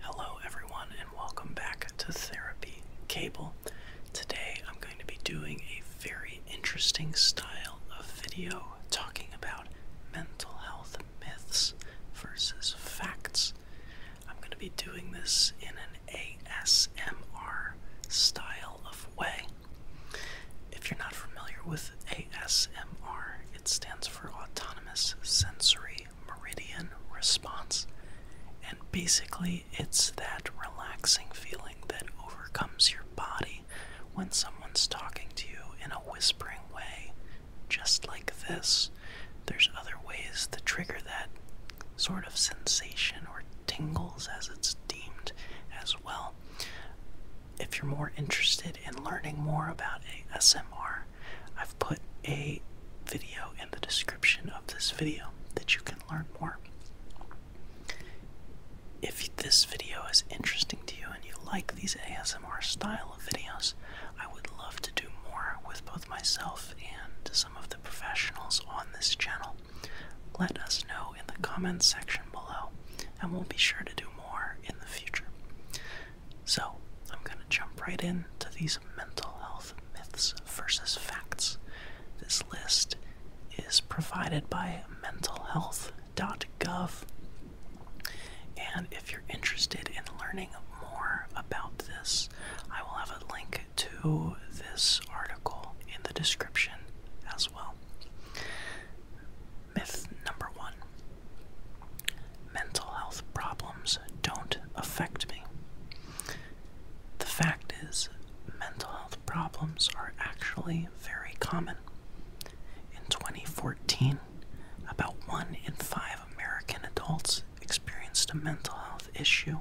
Hello, everyone, and welcome back to Therapy Cable. Today I'm going to be doing a very interesting style of video talking about mental health myths versus facts. I'm going to be doing this in an ASMR style of way. If you're not familiar with ASMR, it stands for Autonomous Sensory meridian response. And basically, it's that relaxing feeling that overcomes your body when someone's talking to you in a whispering way, just like this. There's other ways to trigger that sort of sensation or tingles, as it's deemed, as well. If you're more interested in learning more about ASMR, I've put a video in the description of this video that you can learn more. If this video is interesting to you and you like these ASMR style videos, I would love to do more with both myself and some of the professionals on this channel. Let us know in the comments section below, and we'll be sure to do more in the future. So, I'm going to jump right into these mental health myths versus facts. This list is provided by mentalhealth.gov. And if you're interested in learning more about this, I will have a link to this article in the description as well. Myth number one Mental health problems don't affect me. The fact is, mental health problems are actually very common. In 2014, about one in five American adults experienced a mental health issue.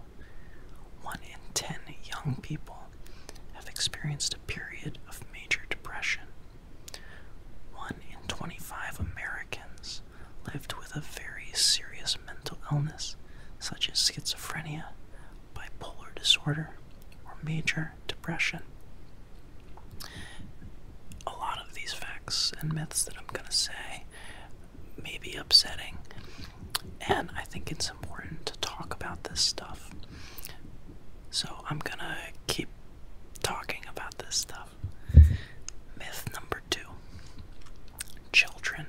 One in ten young people have experienced a period of major depression one in 25 Americans lived with a very serious mental illness, such as schizophrenia, bipolar disorder, or major depression. A lot of these facts and myths that I'm going to say may be upsetting, and I think it's important to talk about this stuff. So I'm going to keep talking about this stuff. Myth number two children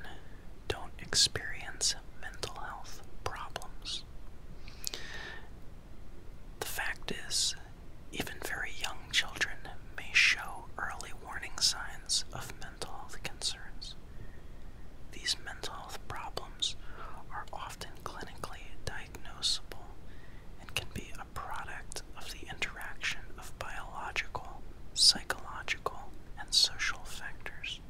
don't experience mental health problems. The fact is, even very young children may show early warning signs of mental health concerns. These mental health problems are often often clinically diagnosable and can be a product of the interaction of biological, psychological, and social factors.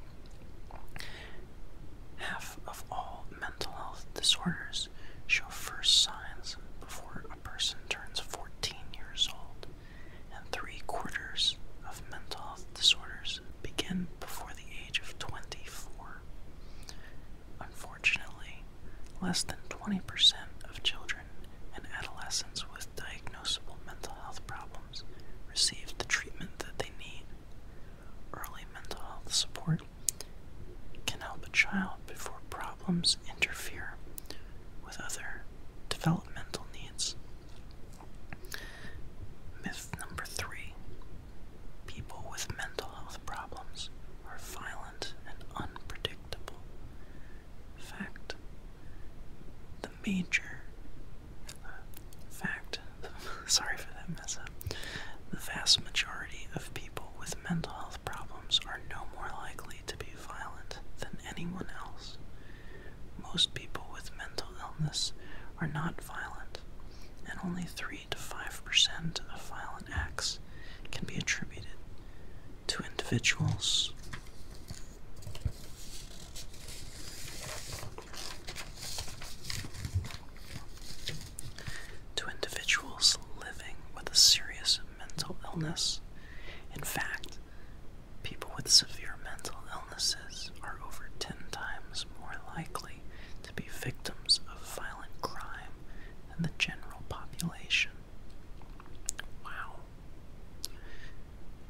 Half of all mental health disorders show first signs before a person turns 14 years old, and three quarters of mental health disorders begin before the age of 24. Unfortunately, less than 20% of children and adolescents with diagnosable mental health problems receive the treatment that they need. Early mental health support can help a child before problems interfere with other developmental needs. Myth number three People with mental health problems are violent and unpredictable. Fact the major uh, fact sorry for that mess up. The vast majority of people with mental health problems are no more likely to be violent than anyone else. Most people with mental illness are not violent, and only 3 to 5% of violent acts can be attributed to individuals. To individuals living with a serious mental illness. In fact, people with severe mental illnesses are over 10 times more likely to be victims of violent crime than the general population. Wow.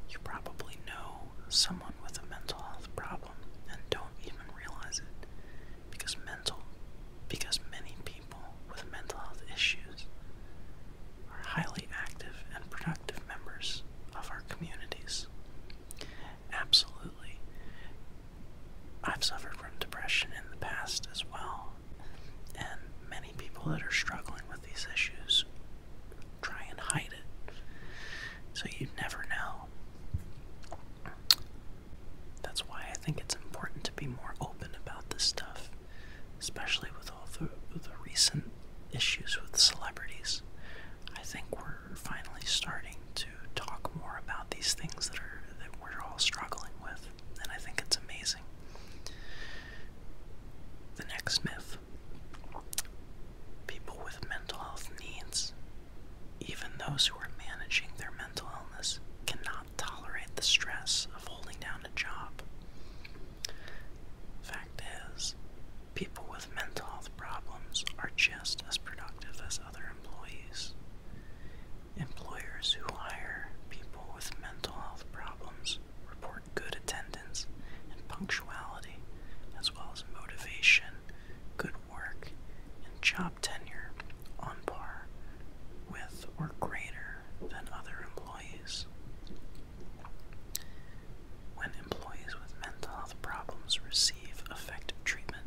You probably know someone with a mental health problem and don't even realize it because mental because many people with mental health issues are highly active and productive members of our communities. Absolutely. I've suffered from depression in the past as well, and many people that are struggling with these issues try and hide it. So you would never know. That's why I think it's important to be more open about this stuff, especially with all the, the recent issues with celebrities. I think we're are finally starting to talk more about these things that are that we're all struggling with, and I think it's amazing. The next myth. People with mental health needs, even those who are managing their mental illness, cannot tolerate the stress of holding down a job. Fact is, People with mental health problems are just as productive as other employees. Employers who hire people with mental health problems report good attendance and punctuality, as well as motivation, good work, and job tenure on par with or greater than other employees. When employees with mental health problems receive effective treatment,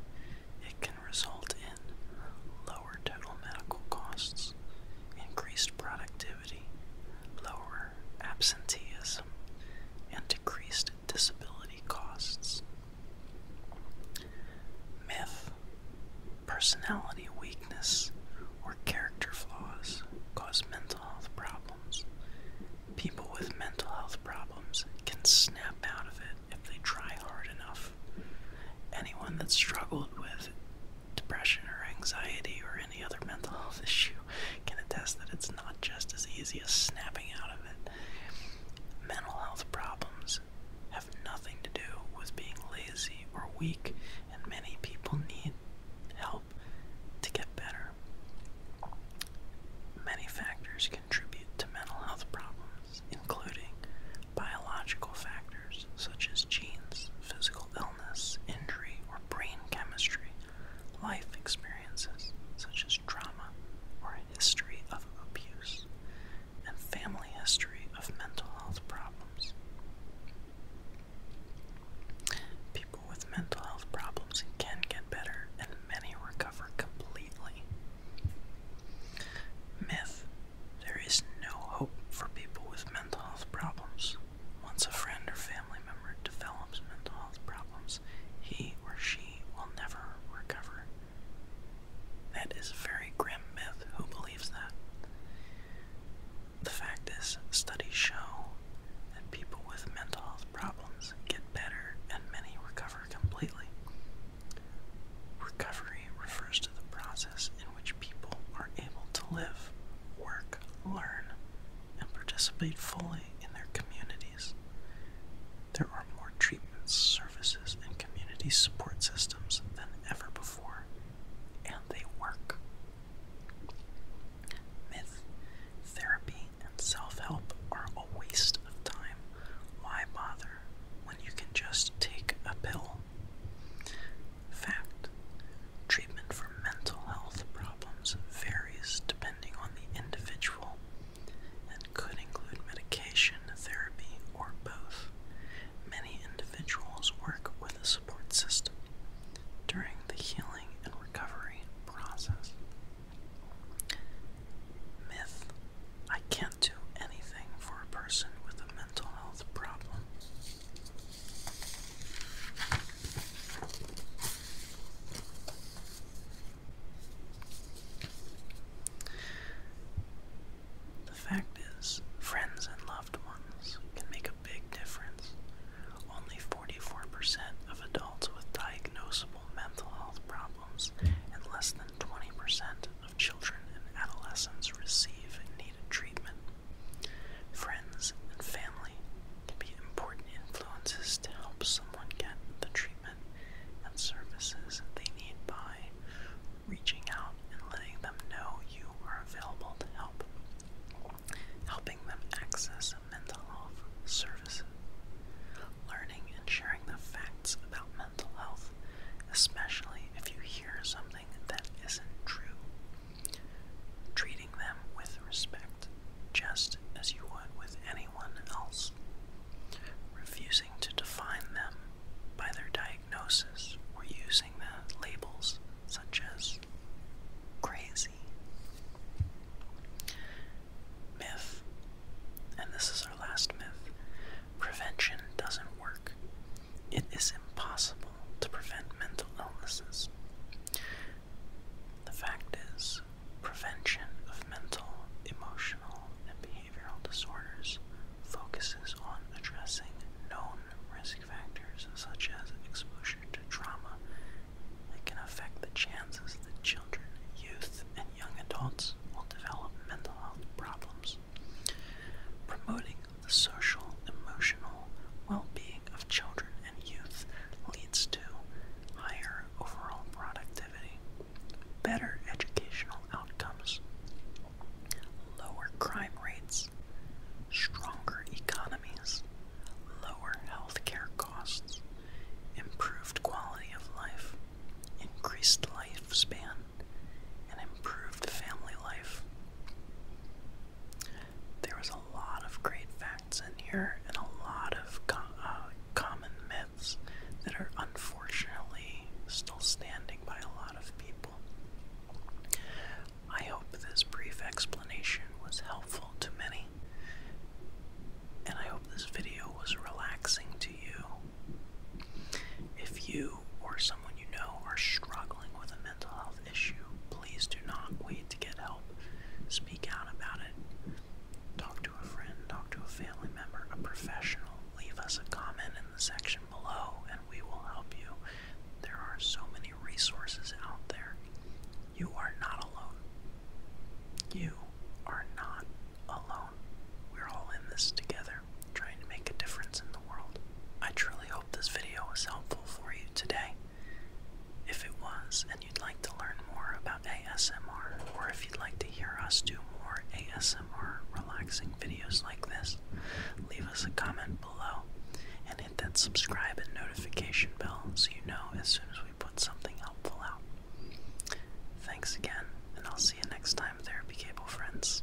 it can result in lower total medical costs, increased productivity, lower absenteeism, and decreased disability costs. Myth Personality weakness or character flaws cause mental mental health problems. People with mental health problems can snap out of it if they try hard enough. Anyone that struggled with depression or anxiety or any other mental health issue can attest that it's not just as easy as snapping out of it. Mental health problems have nothing to do with being lazy or weak, and many people need help to get better. Many factors contribute to mental health problems, including biological factors such as genes, physical illness, injury, or brain chemistry, life experiences such as trauma or history of abuse, and family history of mental health problems. People with mental health problems can get better, and many recover completely. Myth There is no hope for people with mental health problems. Once a friend or family member develops mental health problems, he or she will never recover. That is a very grim myth. Who believes that? The fact is, studies show that people with mental health problems get better and many recover completely. Recovery refers to the process in which people are able to live, work, learn, and participate fully in their communities. There are more treatments, services, and community support systems than ever before, and they work. Myth, therapy, and self help are a waste of time. Why bother when you can just take a pill? Fact Treatment for mental health problems varies depending on the individual and could include medication, therapy, or both. Many individuals work with a support system during the healing and recovery process. Myth I can't do anything for a person with a mental health problem. The fact is, friends and loved ones can make a big difference. Only 44% of adults with diagnosable mental health problems and less than 20% of children and adolescents receive needed treatment. Friends and family can be important influences to help someone get the treatment and services they need by reaching out and letting them know you are available to help, helping them access mental health services, learning and sharing the facts about mental health, especially if you hear something that isn't true. Treating them with respect, just as you would with anyone else. Refusing to define them by their diagnosis or use the labels such as crazy, myth, and this is our last myth prevention doesn't work. It is impossible to prevent mental illnesses. The fact is, prevention of mental, emotional, and behavioral disorders focuses on addressing known risk factors such as exposure to trauma that can affect the chances that children, youth, and young adults will develop mental health problems. Promoting the social, emotional well being of children and youth leads to higher overall productivity, better educational outcomes, lower crime rates, stronger economies, lower healthcare costs, improved quality of life, increased lifespan, and improved family life. There was a lot of great facts in here and a lot of uh, common myths that are unfortunately still standing by a lot of people. I hope this brief explanation was helpful to many, and I hope this video was relaxing to you. If you or someone you know are struggling with a mental health issue, please do not wait to get help. Speak out about it. Talk to a friend, talk to a family member, a professional. Leave us a comment in the section below and we will help you. There are so many resources out there. You are not alone. You are not alone. We're all in this together, trying to make a difference in the world. I truly hope this video was helpful for you today. If it was, and you'd like to learn more about ASMR, or if you'd like to hear us do more ASMR relaxing videos like this, leave us a comment below and hit that subscribe and notification bell so you know as soon as we put something helpful out. Thanks again, and I'll see you next time, Therapy Cable friends.